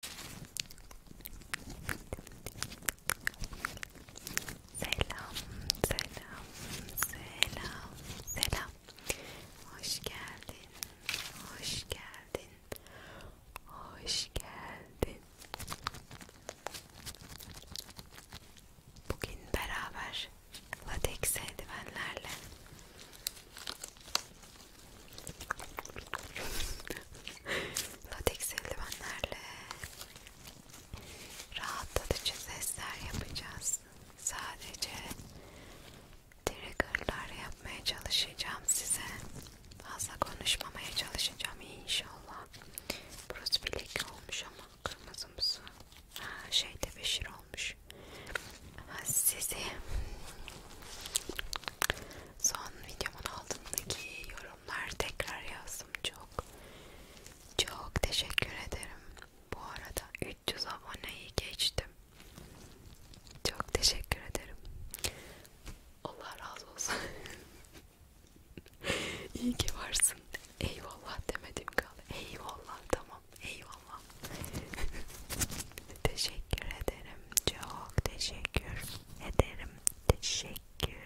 Selam, selam, selam, selam. Hoş geldin, hoş geldin, hoş geldin. Bugün beraber latex eldivenlerle Lateks eldivenlerle rahatlatıcı sesler yapacağız. Sadece triggerlar yapmaya çalışacağım size. Fazla konuşmamaya çalışacağım inşallah. Burası bir leke olmuş ama kırmızımsı. Ha, şeyde beşir olmuş. Sizi son videomun altındaki yorumlar tekrar yazdım çok çok teşekkür ederim bu arada 300 aboneyi geçtim çok teşekkür ederim Allah razı olsun iyi ki varsın eyvallah demedim kaldı eyvallah tamam eyvallah Teşekkür ederim. Çok teşekkür ederim. Teşekkür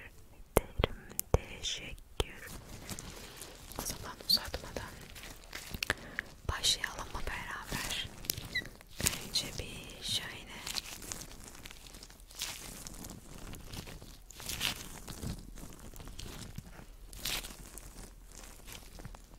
ederim. Teşekkür. O zaman uzatmadan başlayalım mı beraber? Önce bir şöyle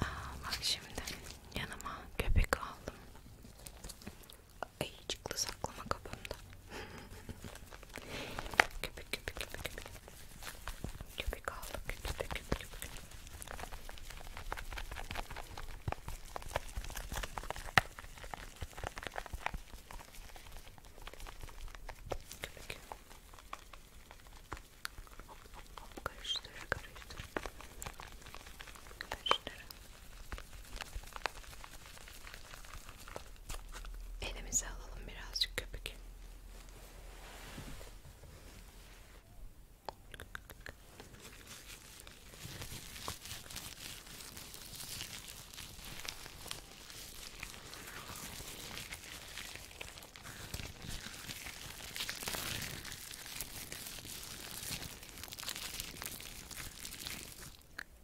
Aa, bak şimdi yanıma köpek aldım. Ayıcıklı saklama kabımda. köpek köpek köpek köpek. Köpek aldım köpek köpek köpek. Köpek. Hop hop hop karıştır karıştır. Karıştır. Elimize alalım birazcık köpük.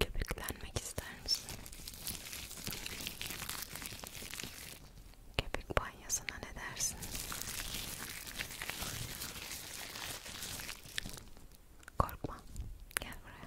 Köpüklenmek ister misin? Köpük banyosuna ne dersin? Korkma, gel buraya.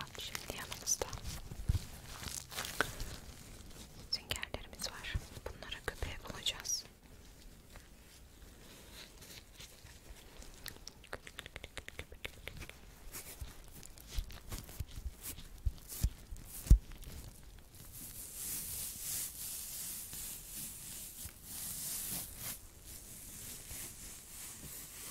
Bak şimdi yanımızda süngerlerimiz var. Bunlara köpeğe bulacağız.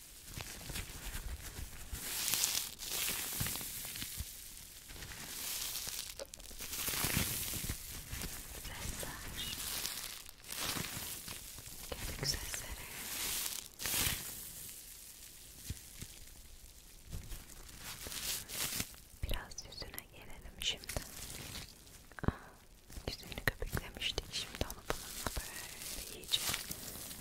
Sesler. Kemik sesleri. Biraz yüzüne gelelim şimdi. Aa, ah, yüzünü köpüklemiştik. Şimdi onu bununla böyle iyice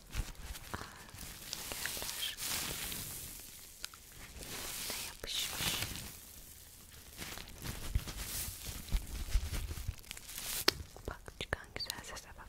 Yerler ne yapışmış? Bak çıkan güzel sese bak.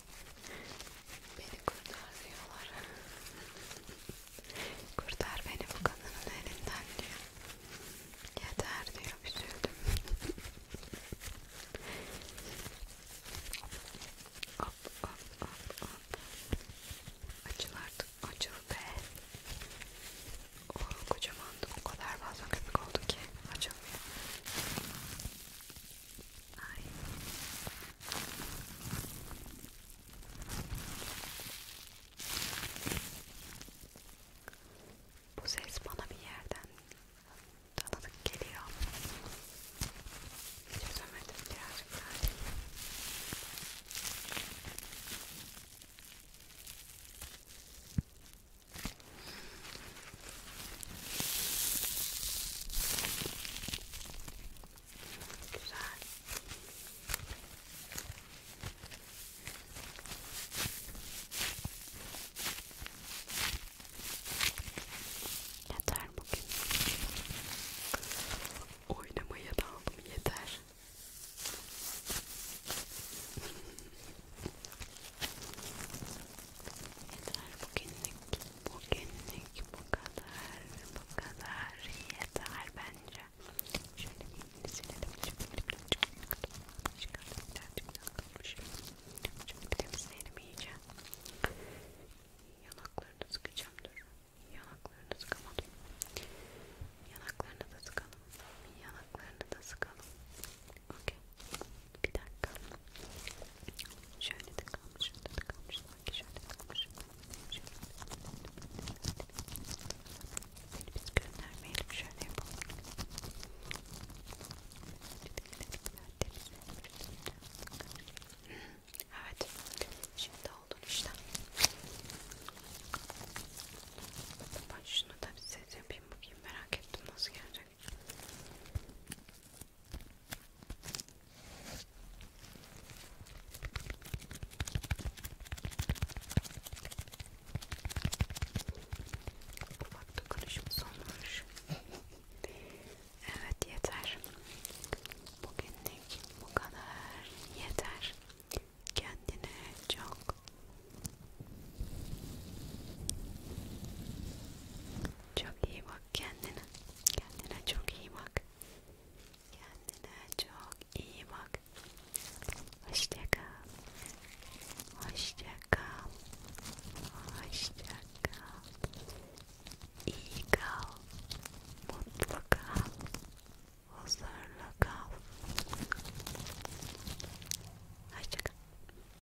Beni kurtar diyorlar. kurtar beni bu kadının elinden diyor. Yeter diyor üzüldüm. hop hop hop hop. Açıl artık açıl be. O oh, kocamandı o kadar fazla köpük oldu ki açılmıyor. Ay. Bu ses bana bir yerden tanıdık geliyor. Çözemedim birazcık daha. Güzel. Yeter bugün. Oynamaya daldım yeter. Yeter bugünlük, bugünlük bu kadar, bu kadar yeter bence. Şöyle bir silelim, Şimdi temizleyelim iyice. Yanaklarını sıkacağım dur. Yanaklarını sıkamadım. Yanaklarını da sıkalım. Yanaklarını da sıkalım. Okey. Bir dakika. Şöyle de kalmış, şöyle de kalmış, sanki şöyle de kalmış. Şöyle de kalmış. Biz göndermeyelim, şöyle yapalım. Evet, şimdi oldun işte. Ben şunu da bir ses yapayım bakayım merak ettim nasıl gelecek. Bak dokunuşum sonlanmış. Evet yeter. Bugünlük bu kadar yeter. Kendine çok çok iyi bak kendine. Kendine çok iyi bak. Kendine çok iyi bak. Hoşça kal. Hoşça kal. Hoşça kal. İyi kal. Mutlu kal. Huzurlu kal. Hoşça kal.